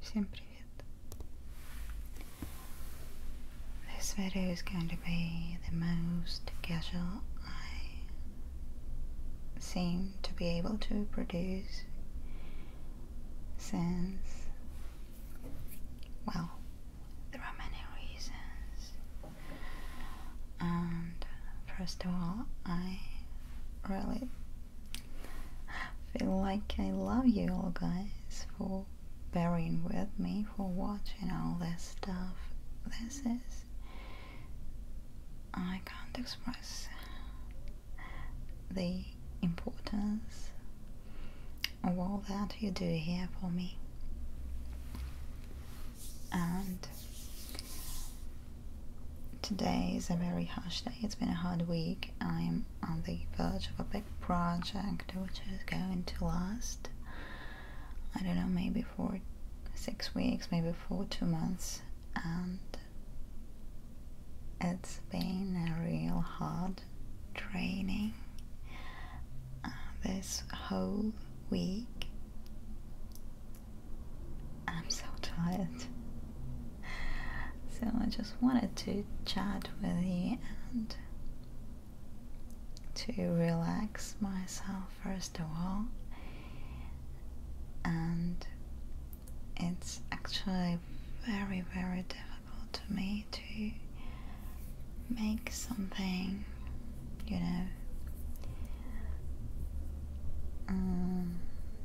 Всем привет. This video is going to be the most casual I seem to be able to produce since, well, there are many reasons. And first of all, I really Feel like I love you all guys for bearing with me for watching all this stuff. This is I can't express the importance of all that you do here for me. And Today is a very harsh day. It's been a hard week. I'm on the verge of a big project which is going to last, I don't know, maybe for six weeks, maybe for two months. And it's been a real hard training uh, this whole week I'm so tired. So I just wanted to chat with you and to relax myself first of all. And it's actually very, very difficult to me to make something, you know, um,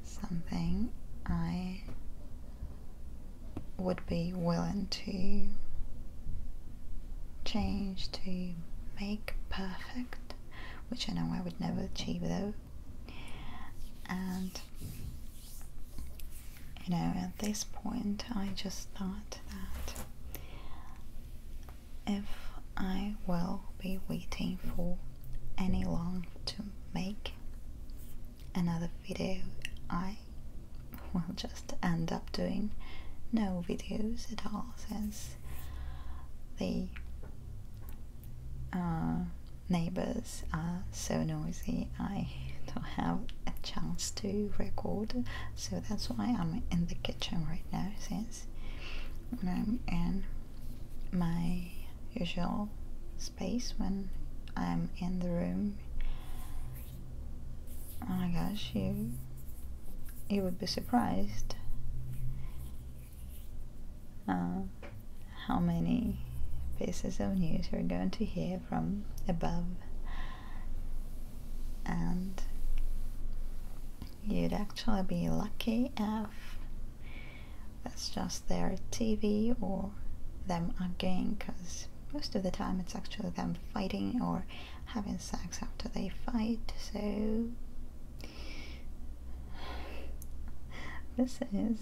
something I would be willing to change to make perfect, which I know I would never achieve though. And you know, at this point, I just thought that if I will be waiting for any long to make another video I will just end up doing no videos at all since the uh, neighbors are so noisy I don't have a chance to record so that's why I'm in the kitchen right now since when I'm in my usual space when I'm in the room. Oh my gosh, you you would be surprised uh, how many pieces of news you're going to hear from above and you'd actually be lucky if that's just their TV or them arguing because most of the time it's actually them fighting or having sex after they fight so this is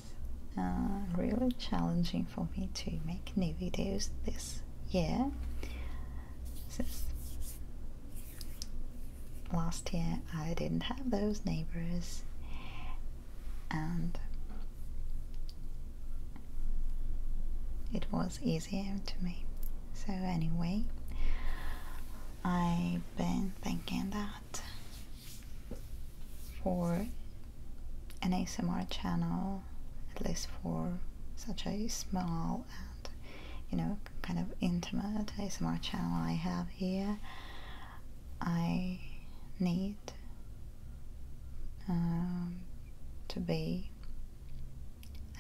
uh, really challenging for me to make new videos this year last year I didn't have those neighbors and it was easier to me. So anyway, I've been thinking that for an ASMR channel, at least for such a small and you know kind of intimate ASMR channel I have here, I need um, to be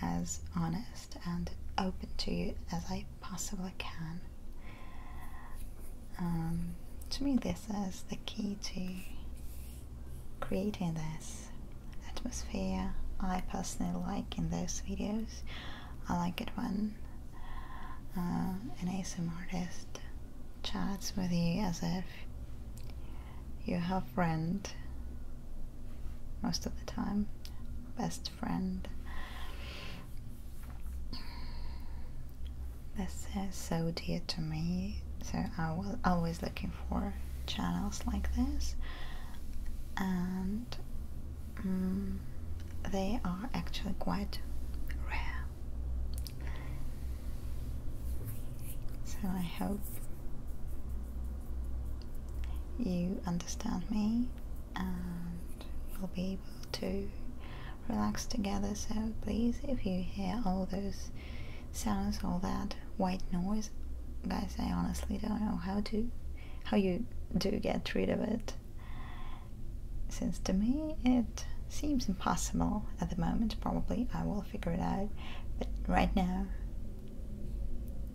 as honest and open to you as I possibly can. Um, to me, this is the key to creating this atmosphere I personally like in those videos I like it when uh, an ASM artist chats with you as if you are her friend most of the time, best friend. This is so dear to me, so I was always looking for channels like this, and um, they are actually quite rare. So I hope you understand me and we'll be able to relax together. So please, if you hear all those sounds, all that white noise, guys, I honestly don't know how to how you do get rid of it since to me it seems impossible at the moment. Probably I will figure it out, but right now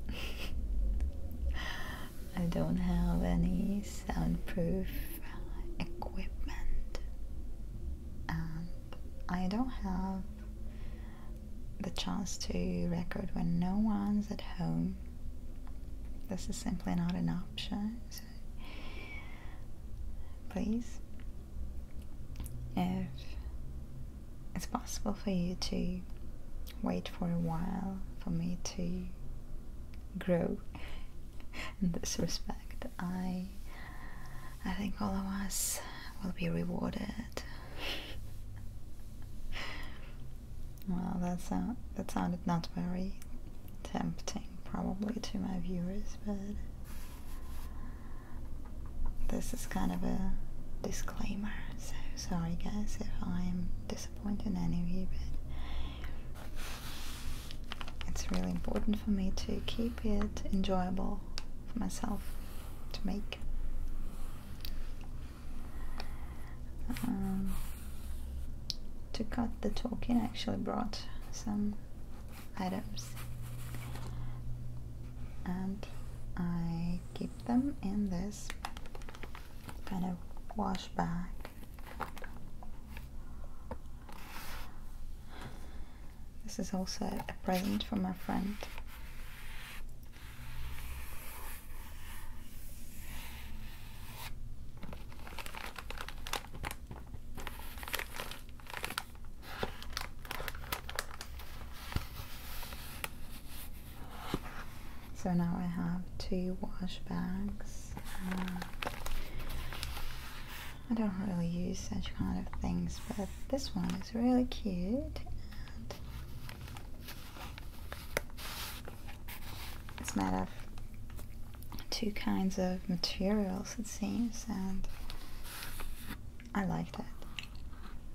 I don't have any soundproof equipment, and I don't have the chance to record when no one's at home. This is simply not an option, please. If it's possible for you to wait for a while for me to grow in this respect, I I think all of us will be rewarded. well, that's a that sounded not very tempting probably to my viewers, but this is kind of a disclaimer, so sorry guys if I'm disappointing anyway. but it's really important for me to keep it enjoyable for myself to make. Um, to cut the talking I actually brought some items and I keep them in this kind of wash bag this is also a present from my friend so now I have two wash bags. Uh, I don't really use such kind of things, but this one is really cute. And it's made of two kinds of materials it seems and I like that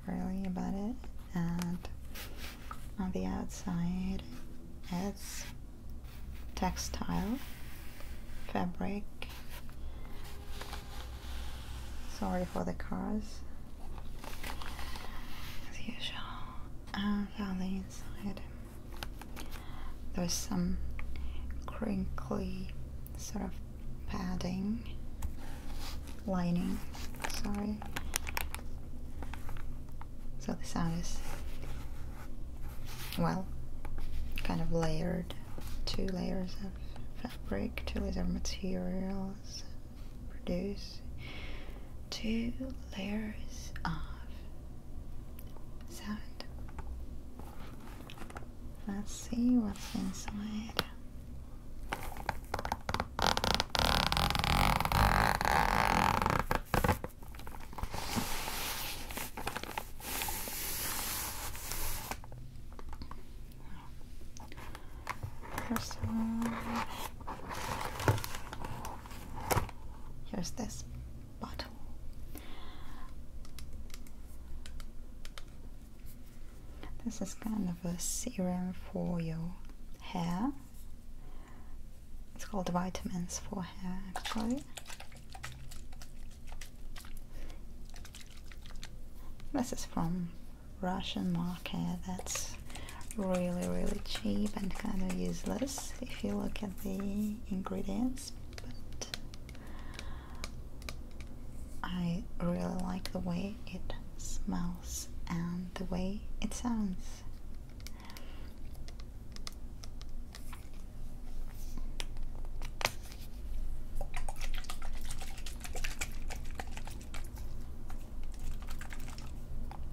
really about it and on the outside it's textile fabric sorry for the cars as usual and uh, on the inside there's some crinkly sort of padding, lining, sorry. So the sound is, well, kind of layered. Two layers of fabric, two layers of materials produce two layers of sound. Let's see what's inside. First of here's this. This is kind of a serum for your hair. It's called vitamins for hair actually. This is from Russian market that's really really cheap and kind of useless if you look at the ingredients, but I really like the way it smells and the way it sounds.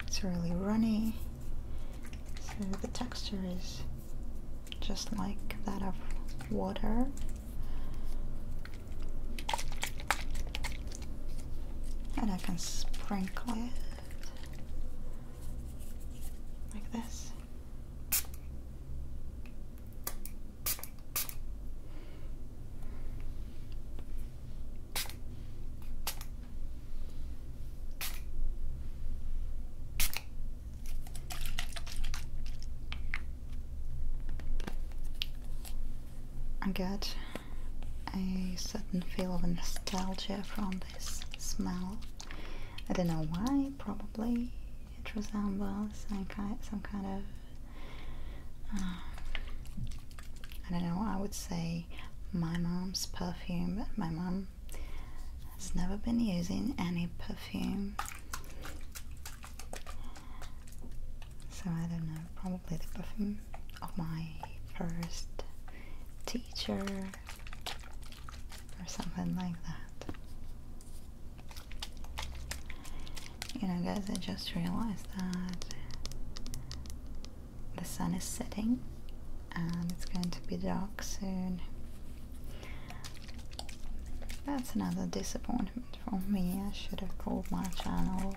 It's really runny. So the texture is just like that of water. And I can sprinkle it like this. I get a certain feel of nostalgia from this smell. I don't know why, probably it resembles some kind, some kind of, uh, I don't know, I would say my mom's perfume, my mom who has never been using any perfume. So I don't know, probably the perfume of my first teacher or something like that. You know guys, I just realized that the sun is setting and it's going to be dark soon. That's another disappointment for me. I should have called my channel.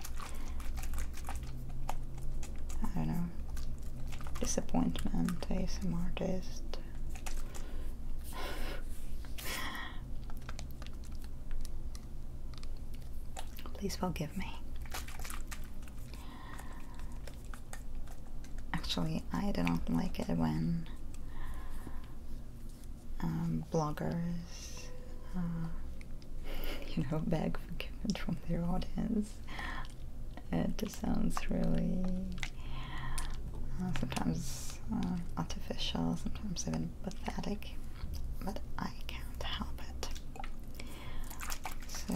I don't know. Disappointment ASM artist. Please forgive me. Actually, I do not like it when um, bloggers, uh, you know, beg forgiveness from their audience. It sounds really uh, sometimes uh, artificial, sometimes even pathetic, but I can't help it. So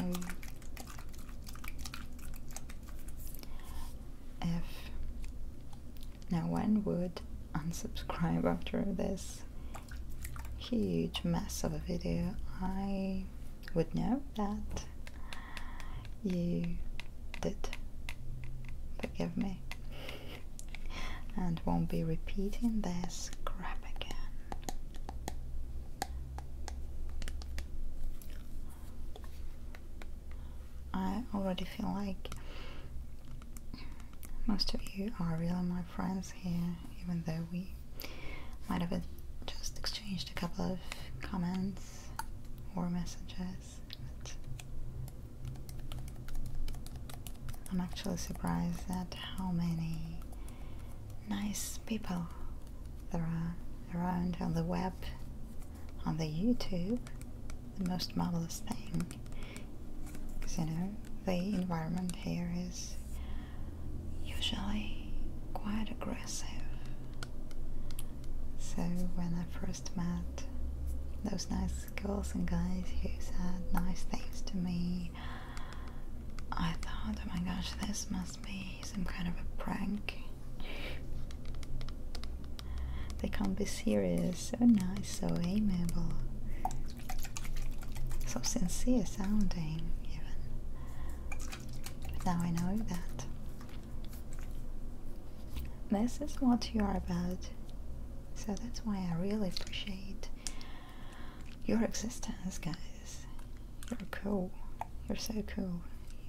F. Now, when would unsubscribe after this huge mess of a video? I would know that you did forgive me and won't be repeating this crap again. I already feel like most of you are really my friends here, even though we might have just exchanged a couple of comments or messages. I'm actually surprised at how many nice people there are around on the web, on the YouTube. The most marvelous thing, because you know, the environment here is usually quite aggressive. So when I first met those nice girls and guys who said nice things to me, I thought, oh my gosh, this must must be some kind of a prank. They can't be serious. So nice, so amiable. So sincere sounding, even. now I know that. This is what you are about. So that's why I really appreciate your existence, guys. You're cool. You're so cool.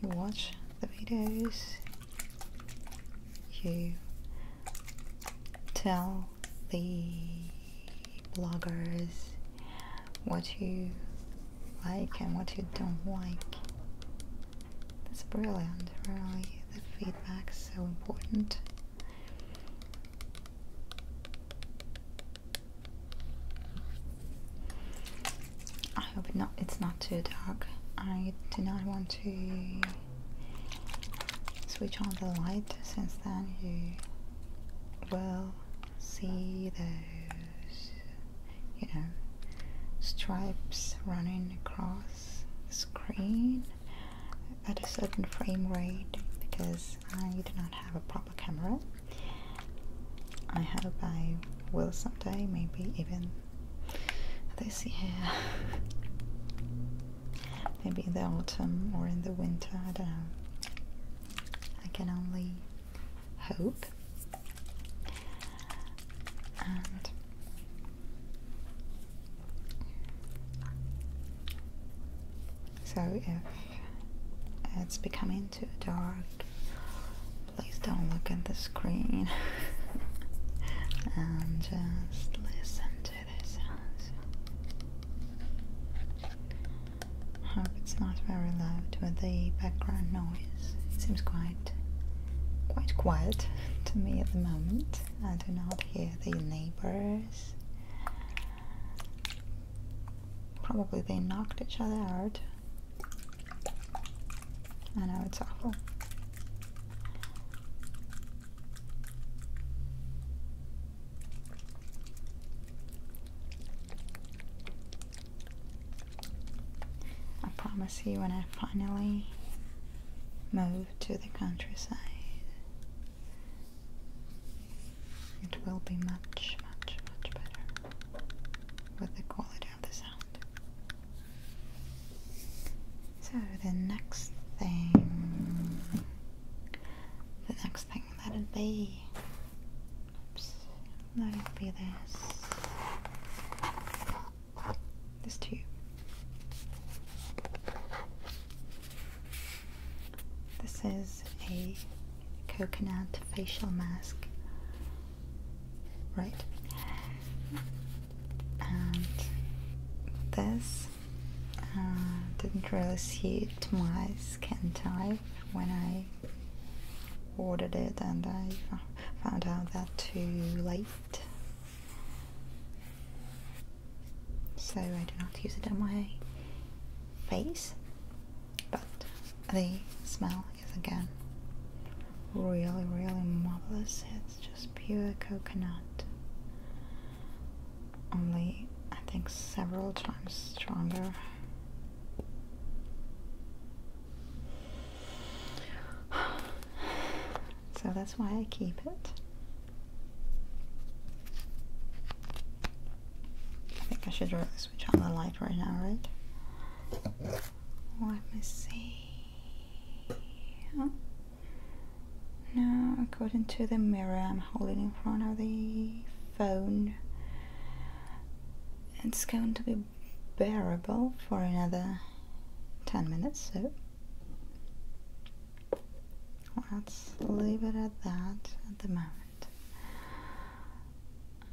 You watch the videos. You tell the bloggers what you like and what you don't like. That's brilliant, really. The feedback is so important. I hope not, it's not too dark. I do not want to switch on the light since then you will see those, you know, stripes running across the screen at a certain frame rate because I do not have a proper camera I hope I will someday, maybe even this year. maybe in the autumn or in the winter, I don't know. I can only hope. so if it's becoming too dark. Please don't look at the screen and um, just listen to the Hope it's not very loud with the background noise. It seems quite quite quiet to me at the moment. I do not hear the neighbors. Probably they knocked each other out I know it's awful. I promise you, when I finally move to the countryside, it will be much, much, much better with the quality of the sound. So the next thing, the next thing that'd be, that'd be this, this tube. This is a coconut facial mask right and this uh, didn't really suit my skin type when I ordered it and I found out that too late so I do not use it on my face but the smell is again really, really marvelous. It's just pure coconut, only I think several times stronger. So that's why I keep it. I think I should switch on the light right now, right? Let me see. Huh? Now, according to the mirror I'm holding in front of the phone, it's going to be bearable for another 10 minutes, so let's leave it at that at the moment.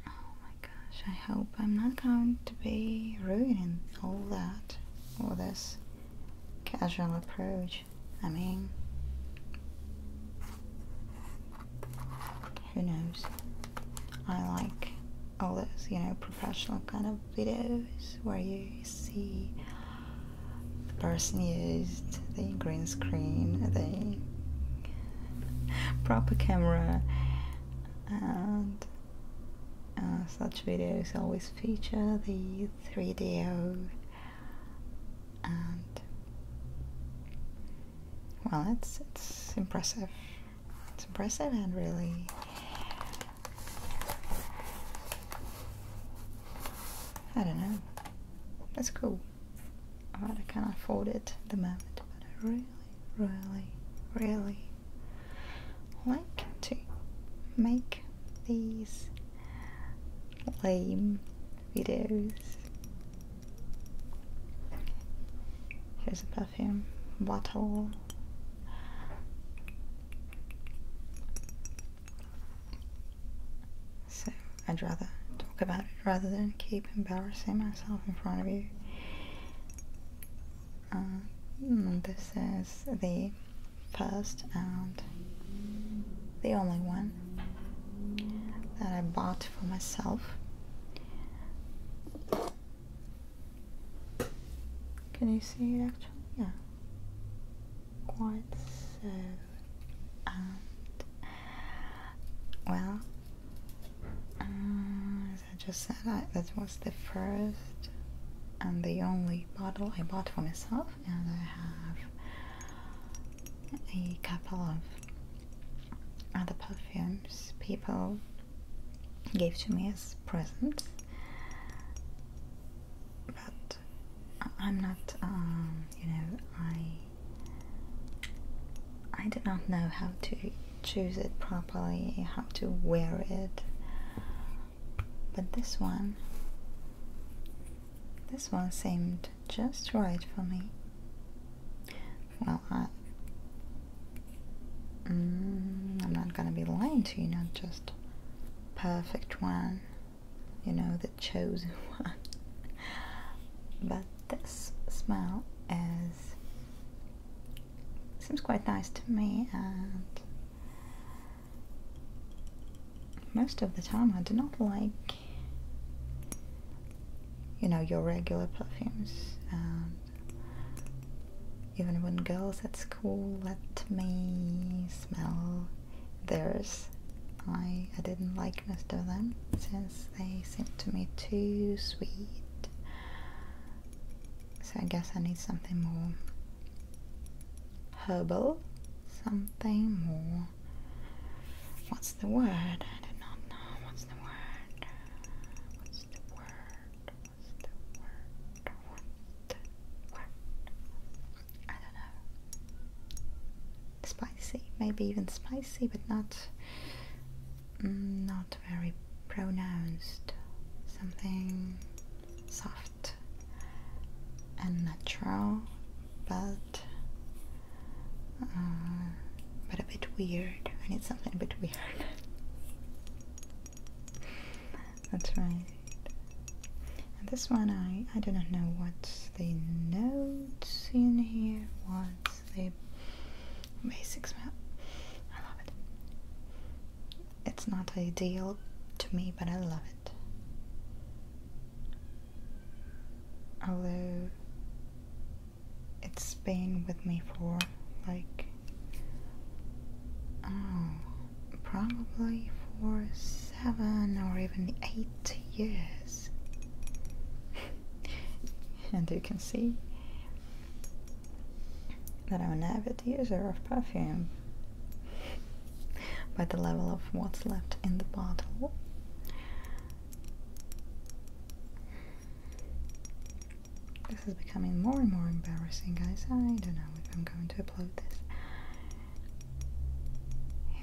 Oh my gosh, I hope I'm not going to be ruining all that or this casual approach. I mean, who knows? I like all those, you know, professional kind of videos where you see the person used the green screen, the proper camera and uh, such videos always feature the 3 d and well it's it's impressive it's impressive and really I don't know that's cool I can not afford it at the moment, but I really, really, really like to make these lame videos. Here's a perfume bottle. So I'd rather talk about it rather than keep embarrassing myself in front of you. Um, this is the first and the only one that I bought for myself. Can you see it actually? Yeah. Quite so. well, uh, as I just said, that was the first and the only bottle I bought for myself, and I have a couple of other perfumes people gave to me as presents. But I'm not, um, you know, I I did not know how to choose it properly, how to wear it. But this one, this one seemed just right for me. Well, I, mm, I'm not gonna be lying to you, not just perfect one, you know, the chosen one. but this smell is seems quite nice to me and most of the time I do not like you know your regular perfumes and even when girls at school let me smell theirs I, I didn't like most of them since they seem to me too sweet. So I guess I need something more herbal, something more. What's the word? I do not know. What's the word? What's the word? What's the word? What's the word? I don't know. Spicy, maybe even spicy, but not Mm, not very pronounced, something soft and natural, but uh, but a bit weird. I need something a bit weird. That's right. And this one, I I do not know what's the notes in here. was the basics map. I love it. It's not ideal to me, but I love it. Although it's been with me for like oh probably for seven or even eight years and you can see that I'm an avid user of perfume by the level of what's left in the bottle. This is becoming more and more embarrassing, guys. I don't know if I'm going to upload this.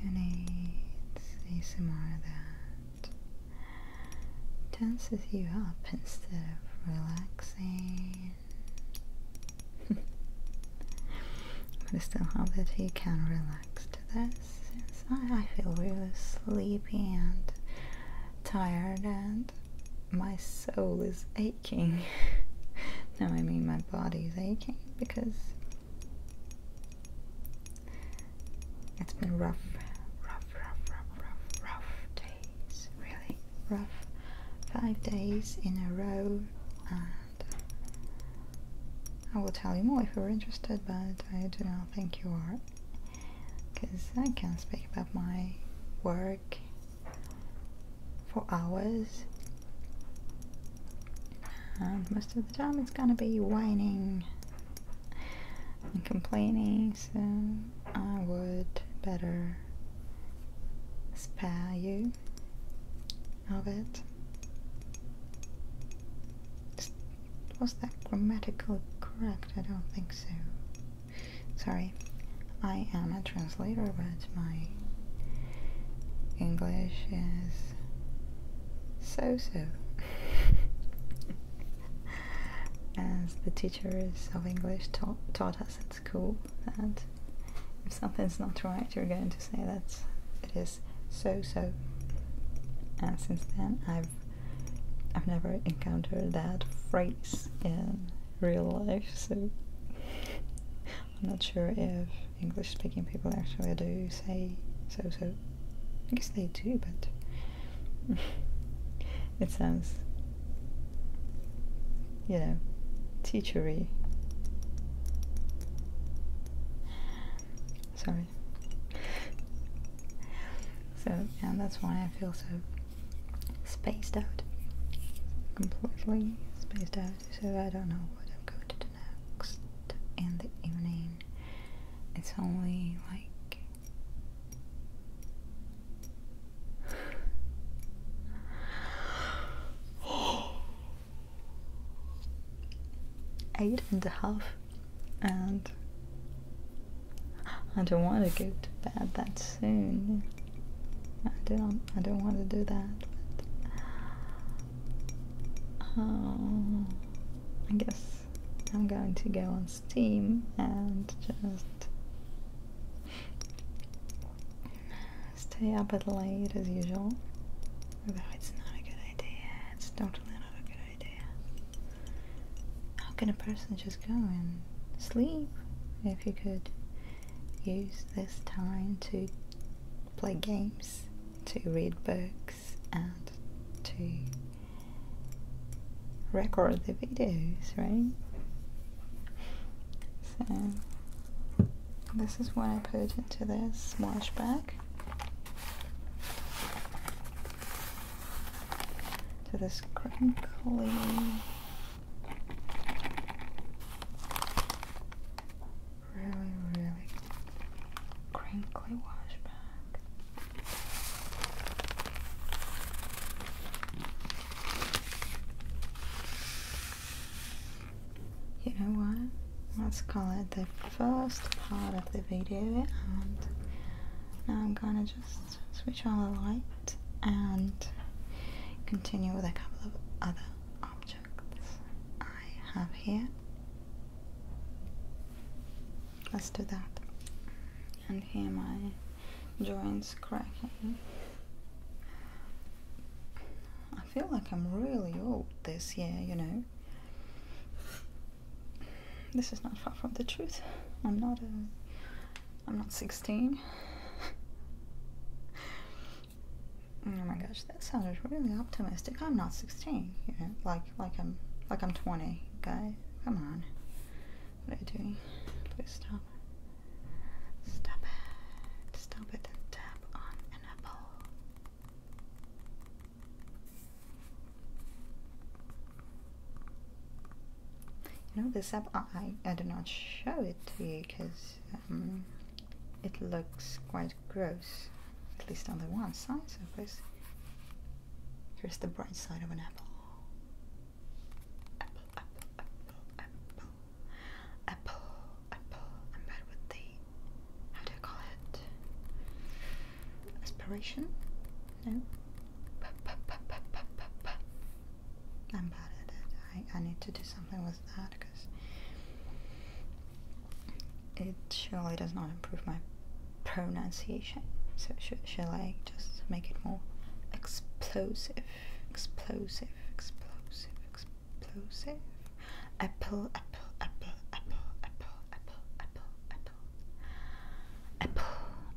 You need to see that tenses you up instead of relaxing. I still hope that he can relax to this since I, I feel really sleepy and tired and my soul is aching. no, I mean my body is aching because it's been rough, rough, rough, rough, rough, days. Really rough. Five days in a row, and I will tell you more if you're interested, but I do not think you are. Because I can speak about my work for hours, and most of the time it's gonna be whining and complaining, so I would better spare you of it. was that grammatically correct? I don't think so. Sorry, I am a translator, but my English is so so. as the teachers of English taught us at school that if something's not right, you're going to say that it is so so. And since then, I've I've never encountered that phrase in real life, so I'm not sure if English-speaking people actually do say so so. I guess they do, but it sounds, you know, teachery. Sorry. So, yeah, that's why I feel so spaced out. Completely spaced out, so I don't know what I'm going to do next in the evening. It's only like Eight and a half, and I don't want to go to bed that soon. I don't. I don't want to do that. oh, I guess I'm going to go on steam and just stay up at late as usual. Although it's not a good idea, it's totally not a good idea. How can a person just go and sleep if you could use this time to play games, to read books? and to record the videos, right? So this is what I put into this wash bag. To this crinkly really, really crinkly wash bag. You know what? Let's call it the first part of the video and now I'm gonna just switch on the light and continue with a couple of other objects I have here. Let's do that. And here my joints cracking. I feel like I'm really old this year, you know. This is not far from the truth. I'm not a I'm not 16. oh my gosh, that sounded really optimistic. I'm not 16, you know, like like I'm like I'm 20, guys. Come on. What are you doing? Please stop. Stop it. Stop it tap on an apple. You know, this app, I, I do not show it to you because um, it looks quite gross, at least on the one side, so Here's the bright side of an apple. Apple, apple, apple, apple. Apple, apple. I'm bad with the. How do I call it? Aspiration? No? P -p -p -p -p -p -p. I'm bad at it. I, I need to do something with that because it surely does not improve my pronunciation. So sh shall I just make it more explosive, explosive, explosive, explosive? Apple, apple, apple, apple, apple, apple, apple, apple, apple,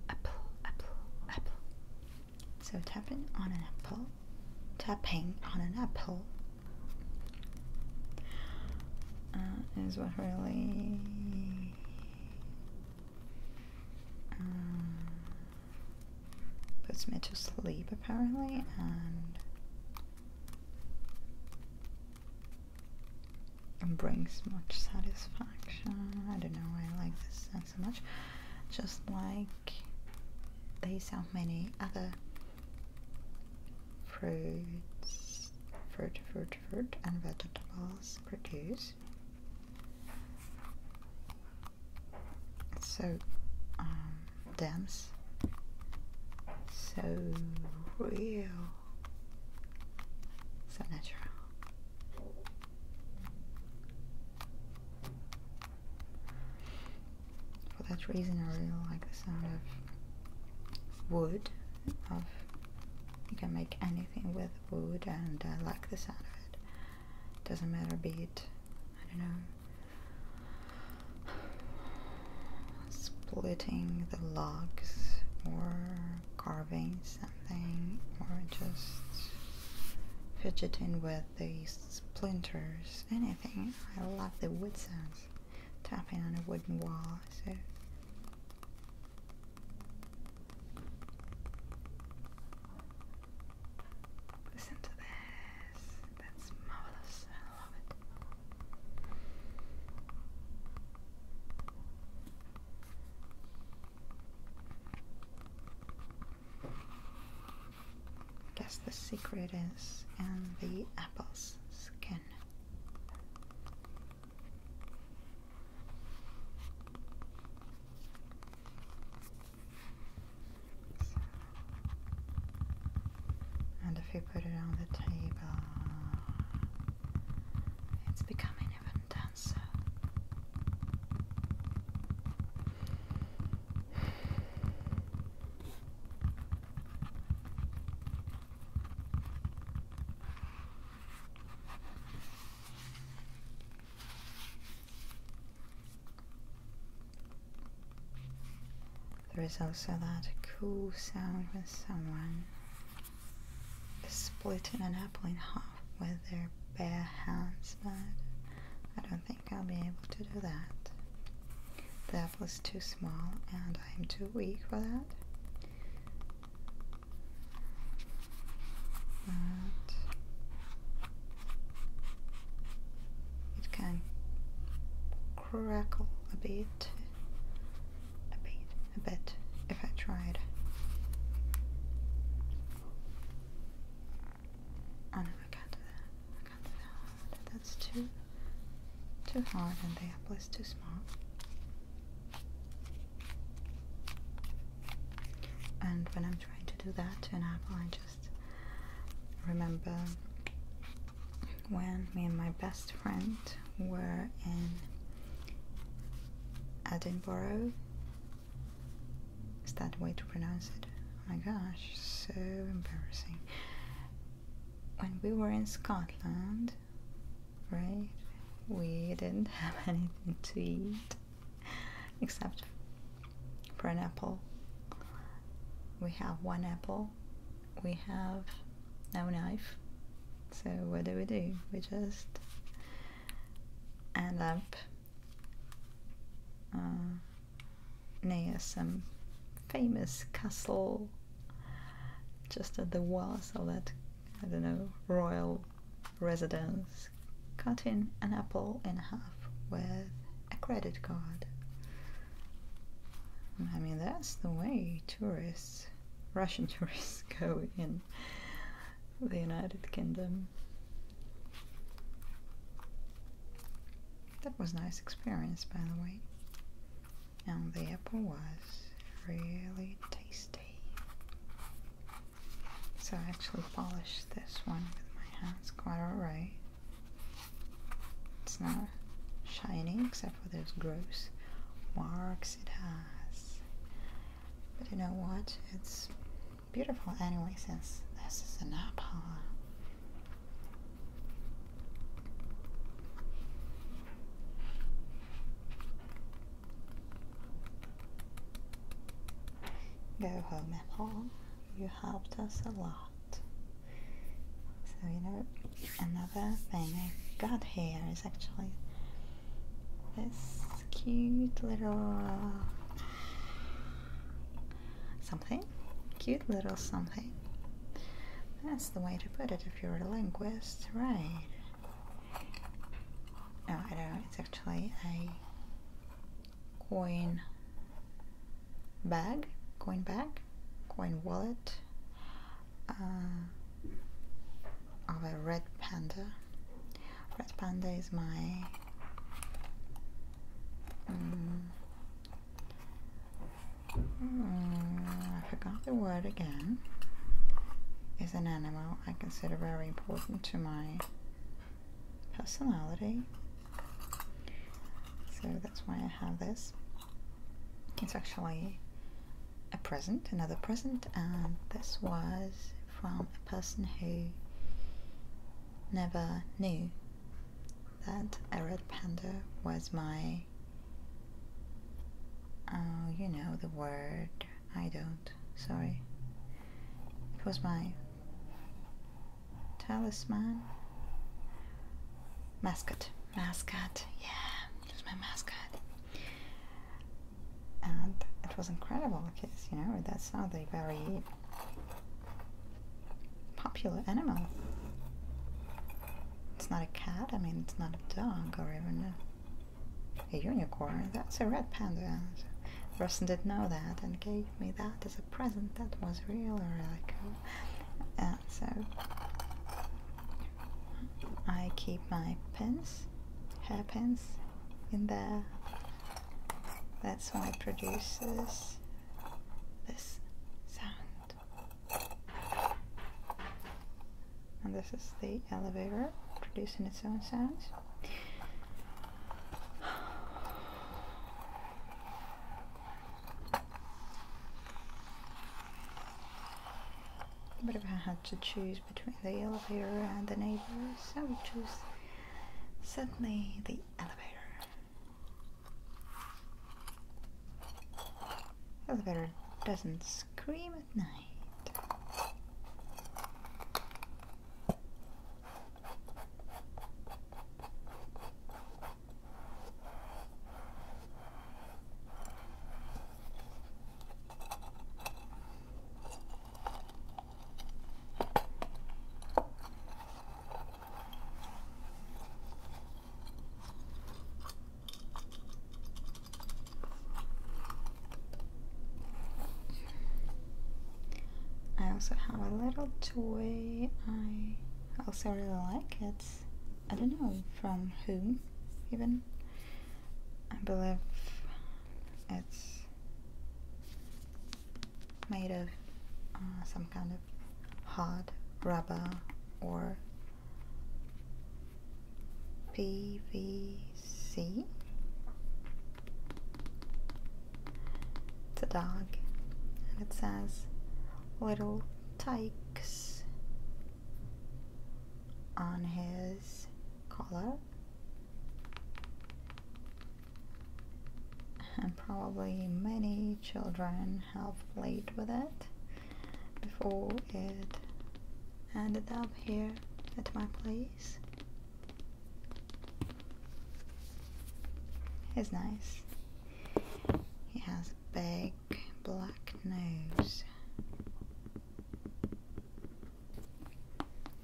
apple, apple, apple. So tapping on an apple, tapping on an apple. Uh, is what really um, puts me to sleep apparently, and brings much satisfaction. I don't know, why I like this scent so much. Just like these, so many other fruits, fruit, fruit, fruit, and vegetables Produce It's so um, dense, so real, so natural. For that reason, I really like the sound of wood. Of you can make anything with wood and I uh, like the sound of it. Doesn't matter, be it, I don't know, splitting the logs or carving something or just fidgeting with these splinters, anything. I love the wood sounds, tapping on a wooden wall. Listen to this. That's marvelous. I love it. Guess the secret is in the apple's skin. And if you put it on the table, it's becoming even denser. There is also that cool sound when someone is splitting an apple in half with their bare hands, but I don't think I'll be able to do that. The apple is too small and I'm too weak for that it can crackle a bit, a bit, a bit if I tried oh, I can't that, that's too, too hard and the apple is too small and when I'm trying to do that in apple, I just remember when me and my best friend were in Edinburgh. Is that the way to pronounce it? Oh my gosh, so embarrassing. When we were in Scotland, right? We didn't have anything to eat except for an apple. We have one apple, we have no knife. So, what do we do? We just end up uh, near some famous castle just at the wall. So that, I don't know, royal residence, cutting an apple in half with a credit card. I mean, that's the way tourists, Russian tourists, go in the United Kingdom. That was a nice experience, by the way. And the apple was really so I actually polished this one with my hands quite alright. It's not shiny except for those gross marks it has. But you know what? It's beautiful anyway since this is an Napa. Go home and home. You helped us a lot. So you know another thing I got here is actually this cute little something. Cute little something. That's the way to put it if you're a linguist, right? no, I don't know, it's actually a coin bag, coin bag, coin wallet uh, of a red panda. Red panda is my mm, mm, I forgot the word again. Is an animal I consider very important to my personality. So that's why I have this. It's actually a present, another present, and this was from a person who never knew that a red panda was my, oh, you know, the word, I don't Sorry. It was my talisman. Mascot. Mascot. Yeah, it was my mascot. And it was incredible because, you know, that's not a very popular animal. It's not a cat, I mean, it's not a dog or even a a unicorn. That's a red panda. The person did know that and gave me that as a present. That was really, really uh, cool. so I keep my pins, hair pins, in there. That's why it produces this sound and this is the elevator producing its own sounds but if I had to choose between the elevator and the neighbors I would choose certainly the elevator elevator doesn't scream at night. I also have a little toy I also really like. it. I don't know from whom even. I believe it's made of uh, some kind of hard rubber or PVC the dog and it says little tykes on his collar and probably many children have played with it before it and a dog here at my place. He's nice. He has big black nose.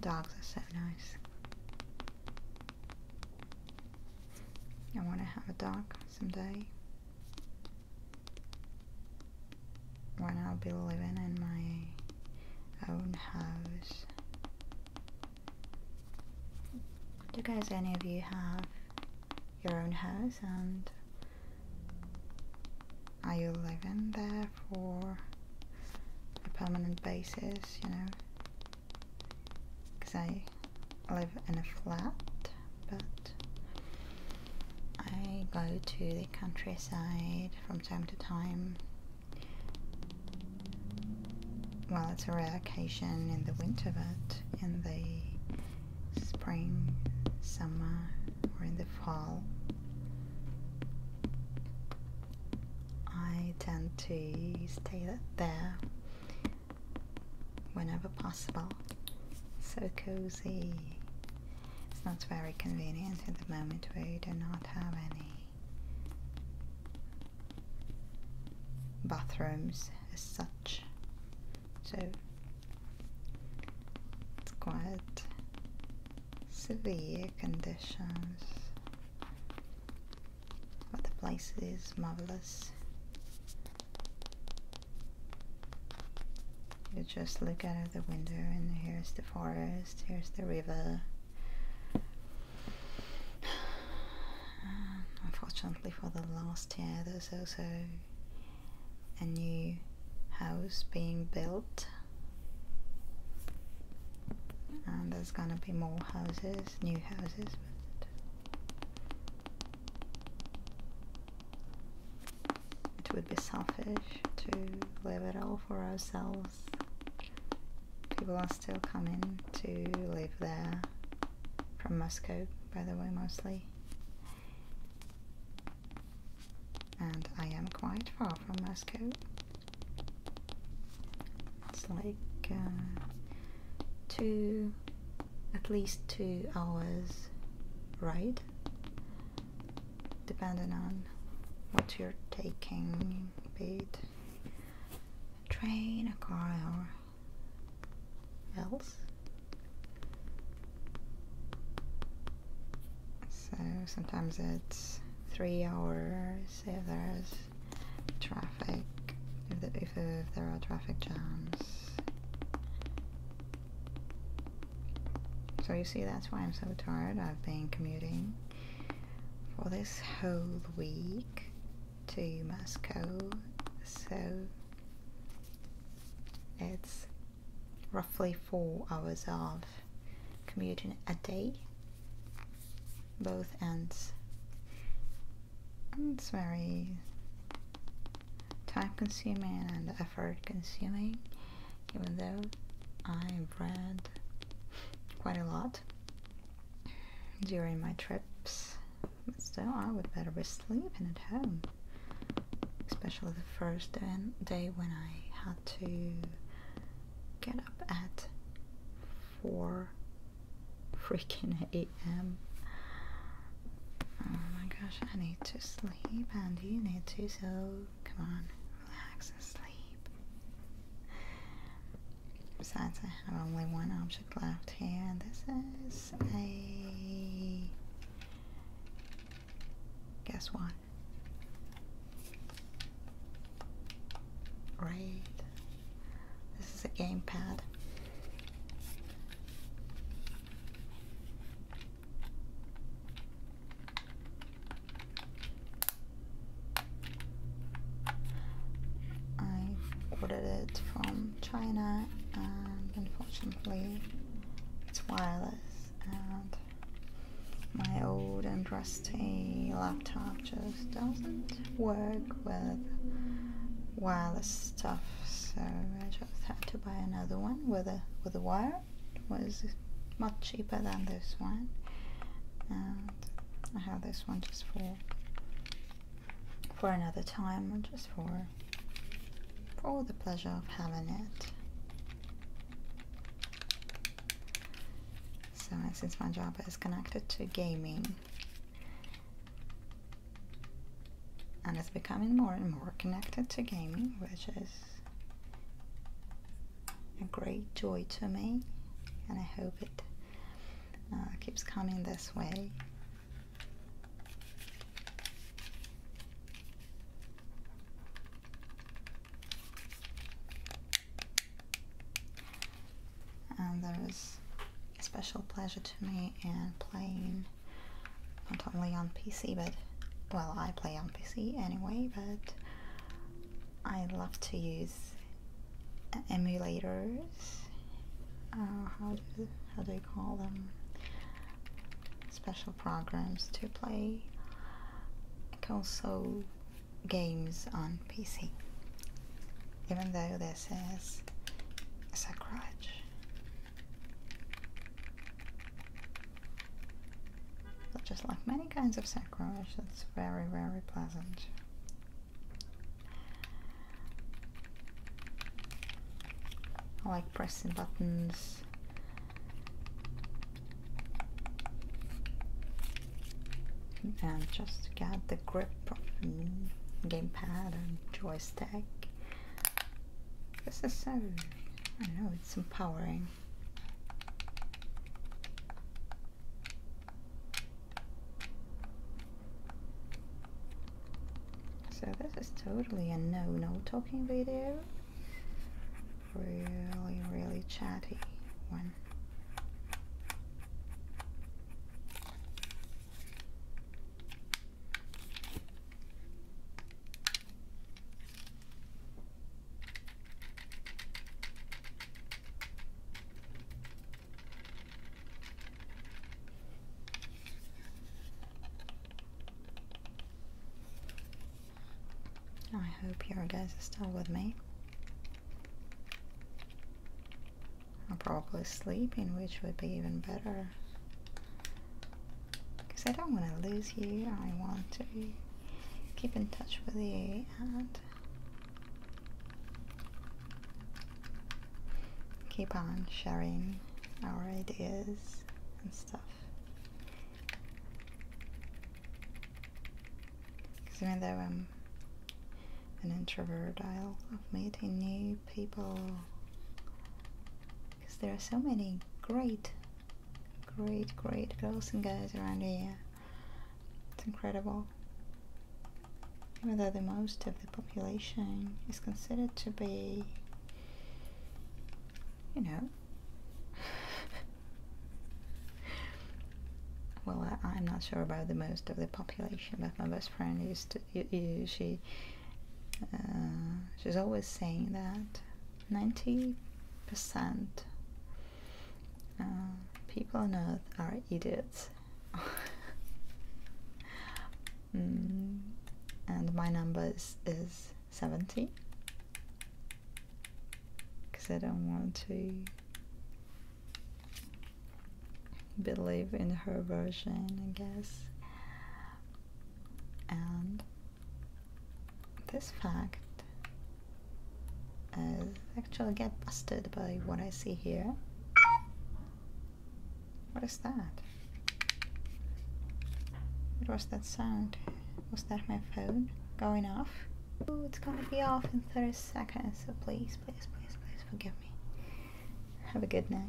Dogs are so nice. I want to have a dog someday when I'll be living in my own house. Do guys, any of you have your own house and are you living there for a permanent basis, you know? Because I live in a flat, but I go to countryside from time to time. Well, it's a rare occasion in the winter, but in the spring, summer, or in the fall, I tend to stay there whenever possible. So cozy. It's not very convenient at the moment where you do not have any bathrooms as such. So it's quite severe conditions. But the place is marvelous you just look out of the window and here's the forest, here's the river. Unfortunately for the last year there's also a new house being built and there's gonna be more houses, new houses it would be selfish to leave it all for ourselves. People are still coming to live there from Moscow, by the way, mostly. And I am quite far from Moscow. It's like uh, two, at least two hours ride depending on what you're taking, be it a train, a car, or else. So sometimes it's three hours if there's traffic, if there are traffic jams. So you see, that's why I'm so tired. I've been commuting for this whole week to Moscow. So it's roughly four hours of commuting a day, both ends. And it's very time consuming and effort consuming even though i read quite a lot during my trips. still, I would better be sleeping at home, especially the first day when I had to get up at 4 freaking a.m. Oh my gosh, I need to sleep, and you need to, so come on relax sleep. Besides, I have only one object left here, and this is a. Guess what? Right. This is a game pad. I ordered it from China and unfortunately it's wireless and my old and rusty laptop just doesn't work with wireless stuff so I just had to buy another one with a with a wire it was much cheaper than this one and I have this one just for for another time just for for the pleasure of having it so since my job is connected to gaming and it's becoming more and more connected to gaming which is a great joy to me, and I hope it uh, keeps coming this way. And there is a special pleasure to me in playing not only on PC, but well, I play on PC anyway, but I love to use emulators. Uh, how do how do you call them? Special programs to play console games on PC, even though this is a sacrilege just like many kinds of sacrilege, it's very, very pleasant. I like pressing buttons. And just get the grip of gamepad and joystick. This is so, I know, it's empowering. So this is totally a no-no talking video. Really, really chatty one. I hope your guys are still with me. i am probably sleeping, which would be even better because I don't want to lose you. I want to keep in touch with you and keep on sharing our ideas and stuff. Because even though I'm an introvert, I love meeting new people. Because there are so many great Great, great girls and guys around here. It's incredible. Even though the most of the population is considered to be, you know, well, I, am not sure about the most of the population, but my best friend used she, uh, she's always saying that 90% uh, people on earth are idiots. Mm, and my number is, is 70 because I don't want to believe in her version, I guess. And this fact as uh, actually get busted by what I see here. What is that? What was that sound? Was that my phone going off? Oh, it's gonna be off in 30 seconds, so please, please, please, please forgive me. Have a good night.